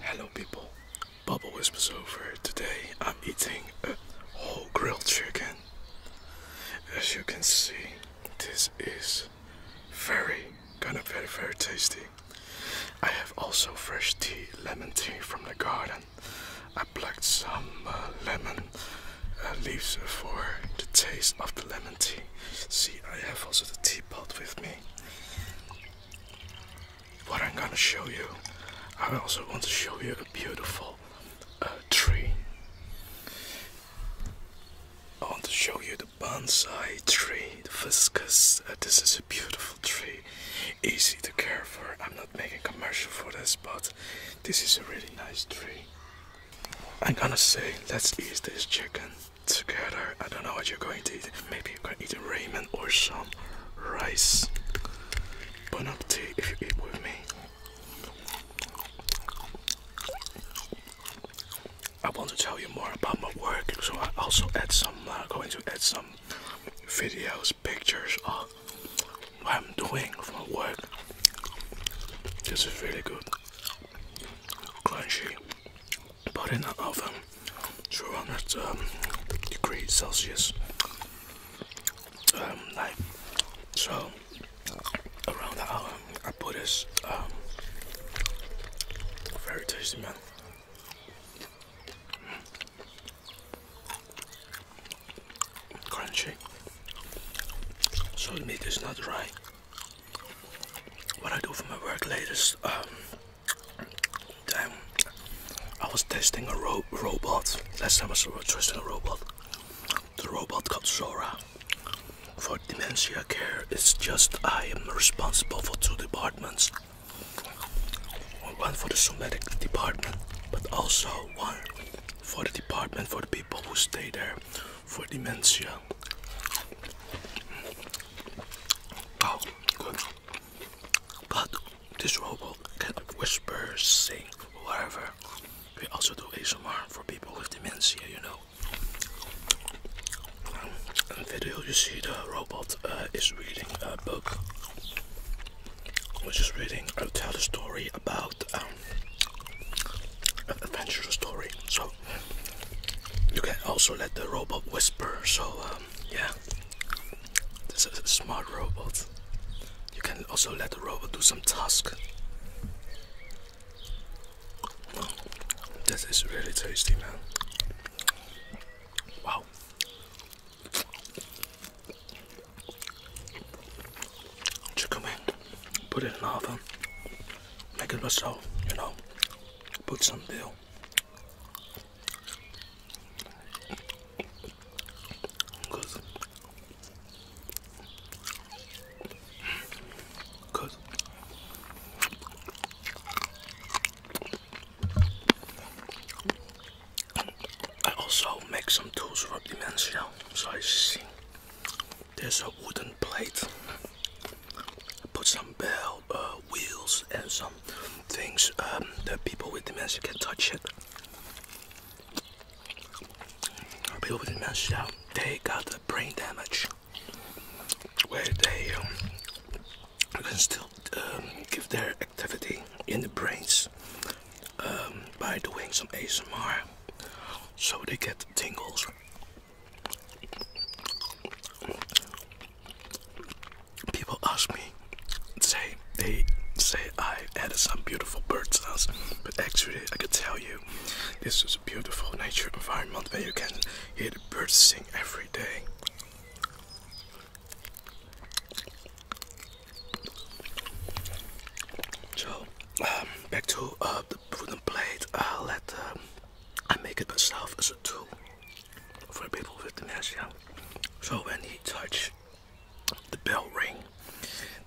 Hello people, Bubble Whispers over. Today I'm eating a whole grilled chicken. As you can see, this is very, kind of very, very tasty. I have also fresh tea, lemon tea from the garden. I plucked some uh, lemon uh, leaves for the taste of the lemon tea. See, I have also the teapot with me what I'm gonna show you. I also want to show you a beautiful uh, tree. I want to show you the bonsai tree, the viscous. Uh, this is a beautiful tree, easy to care for. I'm not making commercial for this, but this is a really nice tree. I'm gonna say, let's eat this chicken together. I don't know what you're going to eat. Maybe you're going to eat ramen or some rice. Bon appetit if you eat with me. I want to tell you more about my work, so I also add some. I'm going to add some videos, pictures of what I'm doing for my work. This is really good, crunchy, put in an oven 200 um, degrees Celsius um, like so around the hour I put this um, very tasty man crunchy so the meat is not right what I do for my work latest um, I was testing a robot last time I was testing a robot the robot called Zora for dementia care it's just I am responsible for two departments one for the somatic department but also one for the department for the people who stay there for dementia. But this robot can whisper, sing, whatever. We also do ASMR for people with dementia, you know. In the video you see the robot uh, is reading a book. Which is reading, I'll uh, tell a story about um, an adventure story. So you can also let the robot whisper. So um, yeah, this is a smart robot. You can also let the robot do some task. This is really tasty, man. Wow. Chicken wing. Put it in the oven make it myself, you know, put some deal, Cause, cause, I also make some tools for dementia, so I see there's a wooden plate. Put some bell uh, wheels and some things um, that people with dementia can touch it. People with dementia, they got the brain damage where they um, can still um, give their activity in the brains by doing some ASMR so they get the tingles. People ask me, say they say I added some beautiful bird sounds, but actually I can tell you, this is a beautiful nature environment where you can hear the birds sing every day. So back to uh, the wooden plate. let um, I make it myself as a tool for people with dementia. So when you touch the bell ring,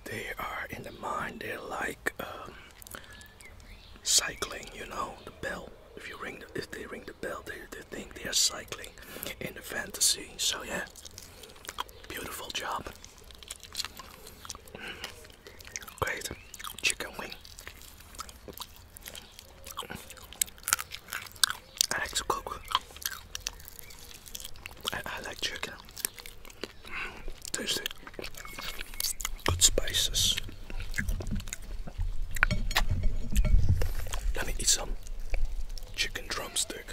they are in the mind. They're like um, cycling, you know, the bell. If you ring, if they ring the bell, they, they think they are cycling in the fantasy. So yeah, beautiful job. Great chicken wing. I like to cook. I, like chicken. Mm, tasty. Good spices. Let me eat some chicken drumstick.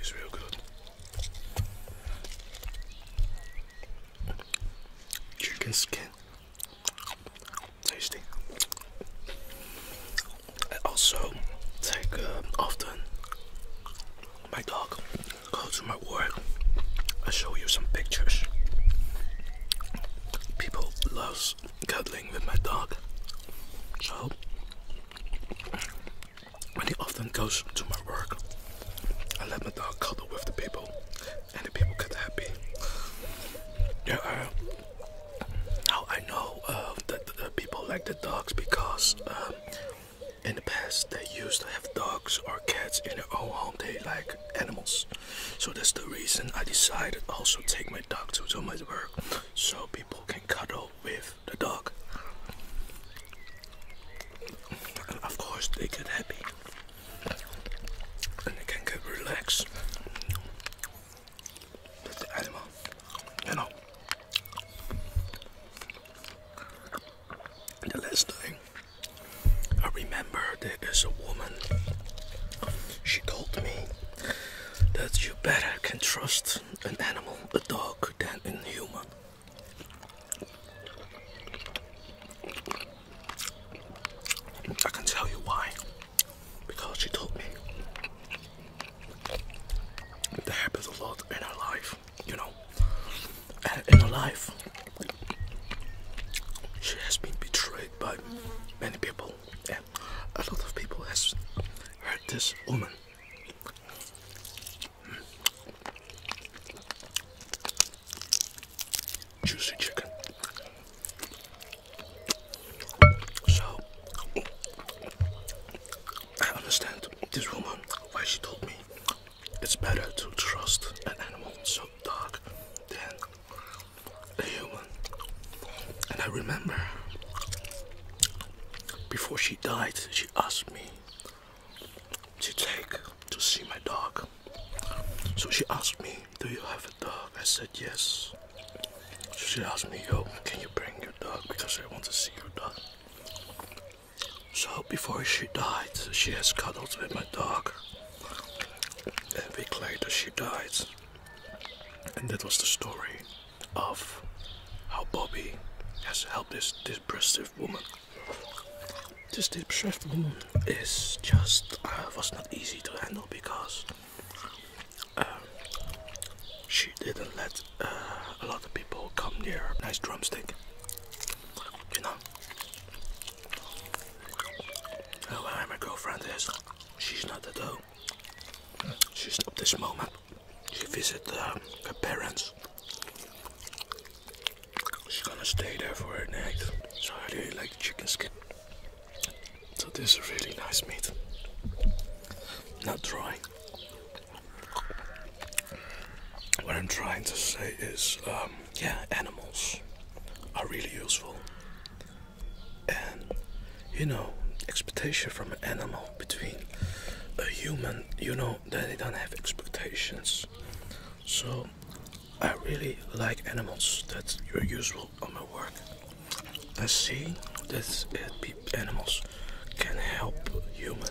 It's real good. Chicken skin. Tasty. I also take uh, often my dog go to my work. I show you some pictures. People loves cuddling with my dog. So when he often goes to my work, I let my dog cuddle with the people, and the people get happy. There are now I know uh, that the people like the dogs because um, in the past they used to have dogs or cats in their own home. They like animals, so that's the reason I decided also take my dog to do my work, so people can cuddle with the dog. And of course they get happy and they can get relaxed with the animal, you know. And the last thing I remember there is a woman she called me that you better can trust an animal, a dog, than a human. I can tell you why. Because she told me that happens a lot in her life, you know. in her life, she has been betrayed by many people, a lot of people has hurt this woman. Juicy chicken. So I understand this woman why she told me it's better to trust an animal so dark than a human. And I remember before she died, she asked me to take to see my dog. So she asked me, Do you have a dog? I said, Yes. she asked me, Yo, can you bring your dog? Because I want to see your dog. So before she died, she has cuddled with my dog. A week later, she died. And that was the story of how Bobby has helped this depressive woman. This depressive woman is just uh, was not easy to handle because uh, she didn't let uh, a lot of people come near nice drumstick. You know. Uh, well, my girlfriend She's not at home. She's not this moment. She visited um, her parents. She's gonna stay there for a night. So I really like the chicken skin. So this is really nice meat. Not dry. What I'm trying to say is um, yeah, animals are really useful. And you know, expectation from an animal between a human, you know, they don't have expectations. So I really like animals that are useful on my work. I see that it, animals can help human,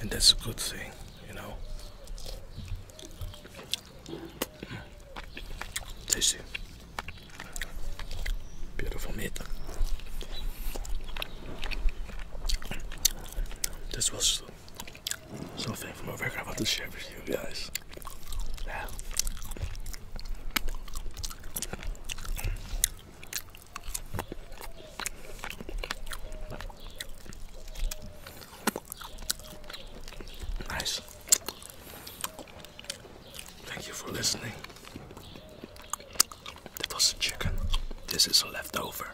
and that's a good thing, you know. Tasty. Beautiful meat. This was something from over I want to share with you guys. Nice. Thank you for listening. That was a chicken. This is a leftover.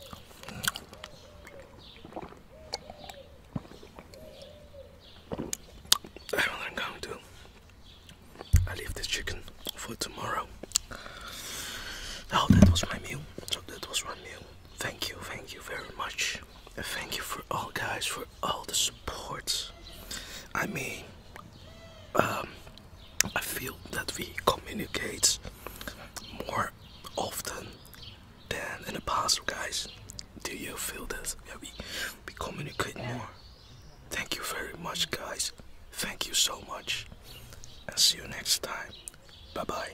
I'm going to I leave this chicken for tomorrow. Now oh, that was my meal. So that was one meal thank you thank you very much thank you for all guys for all the support i mean um, i feel that we communicate more often than in the past guys do you feel that yeah, we, we communicate more thank you very much guys thank you so much and see you next time bye bye